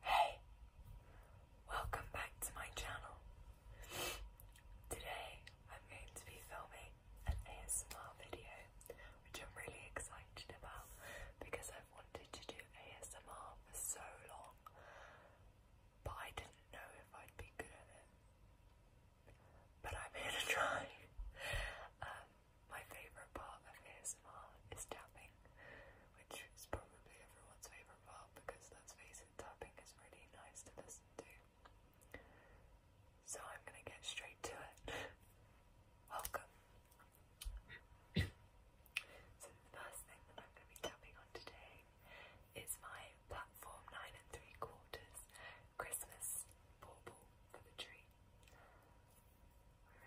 Hey, welcome back to my channel. Today I'm going to be filming an ASMR video, which I'm really excited about because I've wanted to do ASMR for so long, but I didn't know if I'd be good at it. But I'm here to try. Um, my favourite part of ASMR uh, is tapping, which is probably everyone's favourite part because let's face it, tapping is really nice to listen to. So I'm gonna get straight to it. Welcome. so the first thing that I'm gonna be tapping on today is my platform nine and three quarters Christmas bauble for the tree. Alright.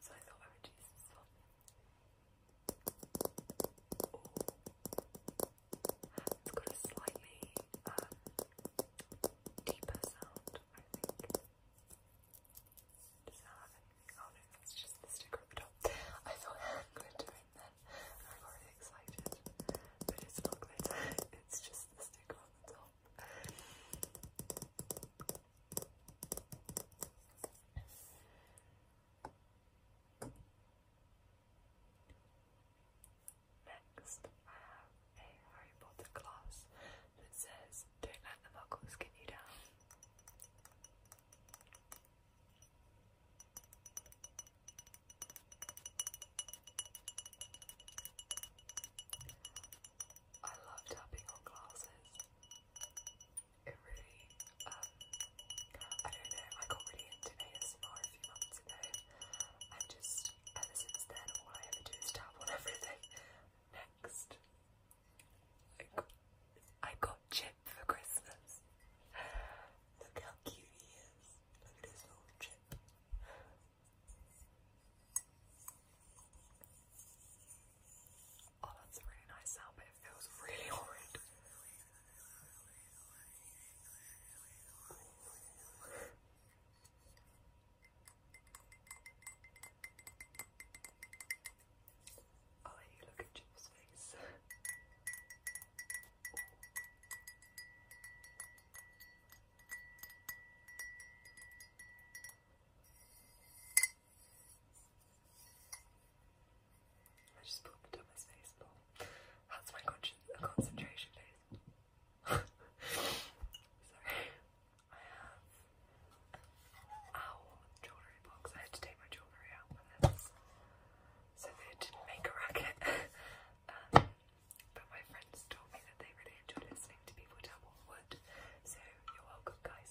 So I thought I would use this one. It's got a slightly um, deeper sound, I think. Does that have anything? Oh no, that's just the sticker at the top. I thought I had glitter in there. I got really excited. But it's not glitter, it's just the sticker on the top. Next, I have a Harry Potter glass that says, Don't let the muggles get you down. I love tapping on glasses it really, um, I don't know, I got really into ASMR a few months ago, and just ever since then, all I ever do is tap on everything. Next, I got Chip for Christmas. Look how cute he is. Look at his little chip. Oh, that's a really nice sound, but it feels really horrid. i you look at Jim's face. I just popped the dumbest face. More. That's my concentration face. Sorry. I have owl jewellery box. I had to take my jewellery out with this. So they didn't make a racket. Um, but my friends told me that they really enjoy listening to people tell So you're welcome guys.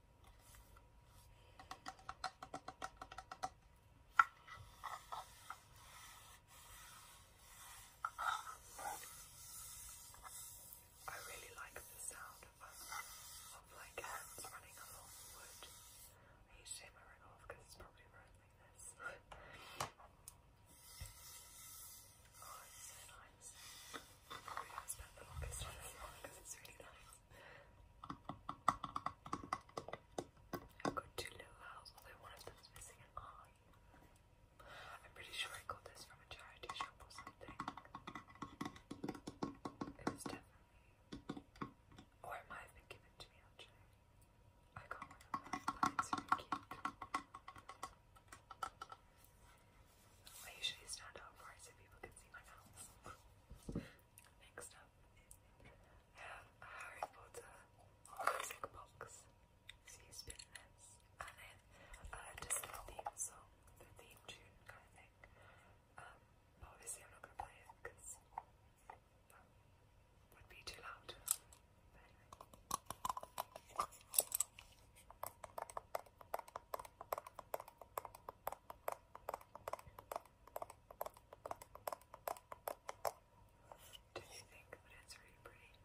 I really like the sound of, um, like hands running along wood. I need to it's probably running like this. oh, it's so nice. I spent the longest time it's really nice. I've got two little owls, although one of them's missing an eye. I'm pretty sure I got this from a charity shop or something. It was definitely, or it might have been given to me I got one of them, it's really cute. I usually stand up for it so people can see my nails. Next up, I Harry Potter music box. So you spin this, and then uh, just theme song, the theme tune kind of thing. Um, obviously, I'm not going to play it because that would be too loud. Do you think that it's really pretty?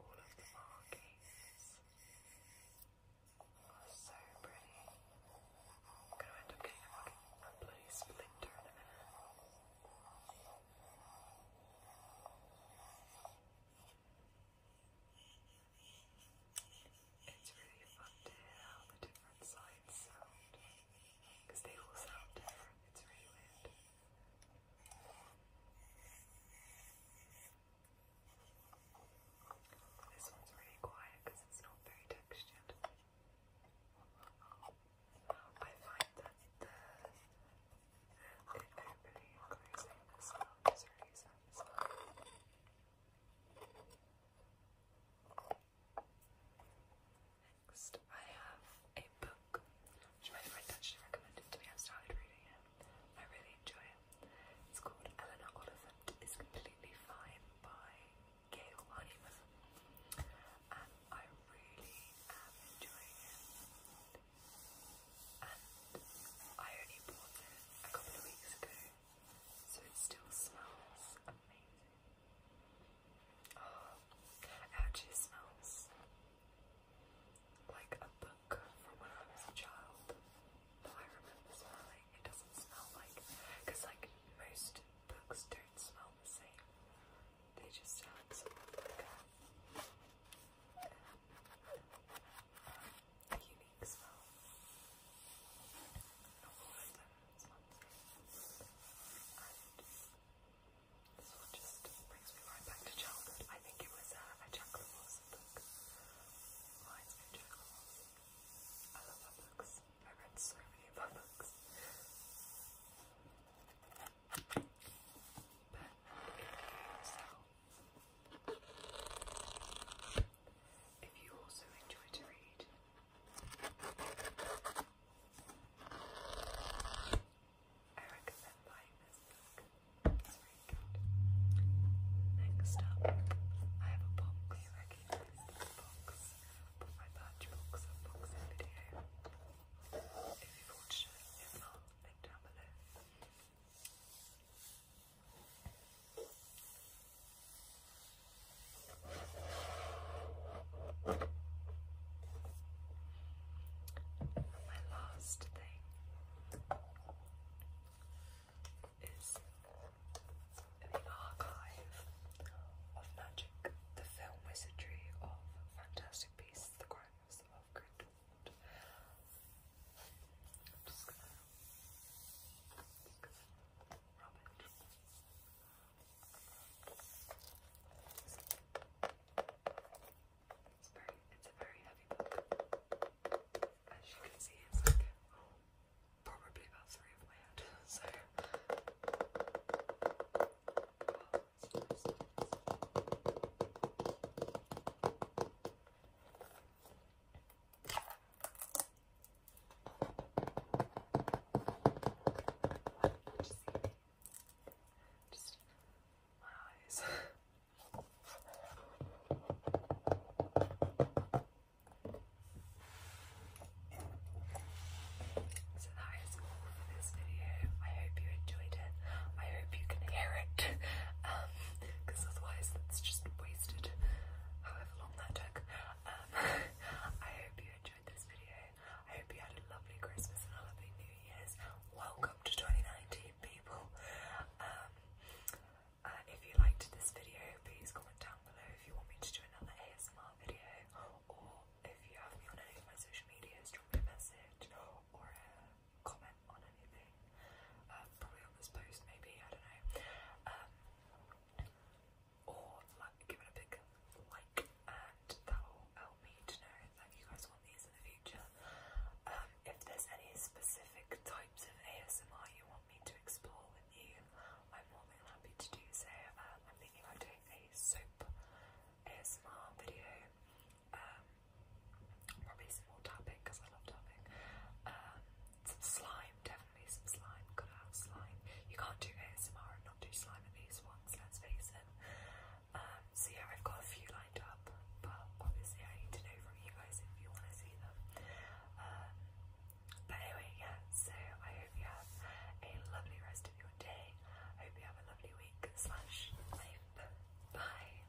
All of the markings are so pretty. I'm gonna end up getting a bloody splinter it's really fun to hear how the different sides sound because they all sound different. It's really weird. This one's really quiet because it's not very textured. I find that the it opening and the sound is really satisfying. Next, I have a book which my friend actually recommended to me. I've started reading it. I really enjoy it. It's called Eleanor Oliphant is Completely Fine by Gail Honeyman. And I really am enjoying it. And I only bought it a couple of weeks ago so it still smells amazing. Oh, it actually smells like a book from when I was a child that I remember smelling. It doesn't smell like, because like most books don't smell the same. They just have sort of like a, um, unique smell. Not of them smell the same. just brings me right back to childhood. I think it was a Jack LaRosse book. Reminds me of Jack I love books. I read so many of books. If you also enjoy to read, I recommend buying this book. Next up, I have a box. I recognize this box, but my batch box and box in video. If you've it, if link down below. My last thing is the archive of magic, the film wizardry of Fantastic Beasts, the Crimes of Grindelwald. It's very it's a very heavy book. As you can see it's like probably about three of my head. So that is all for this video. I hope you enjoyed it. I hope you can hear it. Um, because otherwise it's just um, I hope you had a lovely Christmas and a lovely New Year's. Welcome to 2019, people. Um, uh, if you liked this video, please comment down below if you want me to do another ASMR video, or if you have me on any of my social medias, drop me a message uh, comment on anything. Uh, probably on this post, maybe, I don't know. Um, or like, give it a big like, and that will help me to know that you guys want these in the future. Um, if there's any specific types of ASMR you want me to explore with you, I'm more than happy to do so. Um, I'm thinking about doing a soap ASMR video. Probably some more tapping because I love tapping. Um, some slime, definitely some slime. Gotta slime. You can't do ASMR and not do slime in these ones, let's face it. Um, so yeah, I've got a few lined up, but obviously I need to know from you guys if you want to see them. Um, but anyway, yeah, so I hope you have a lovely rest of your day. I hope you have a lovely week slash life. Bye.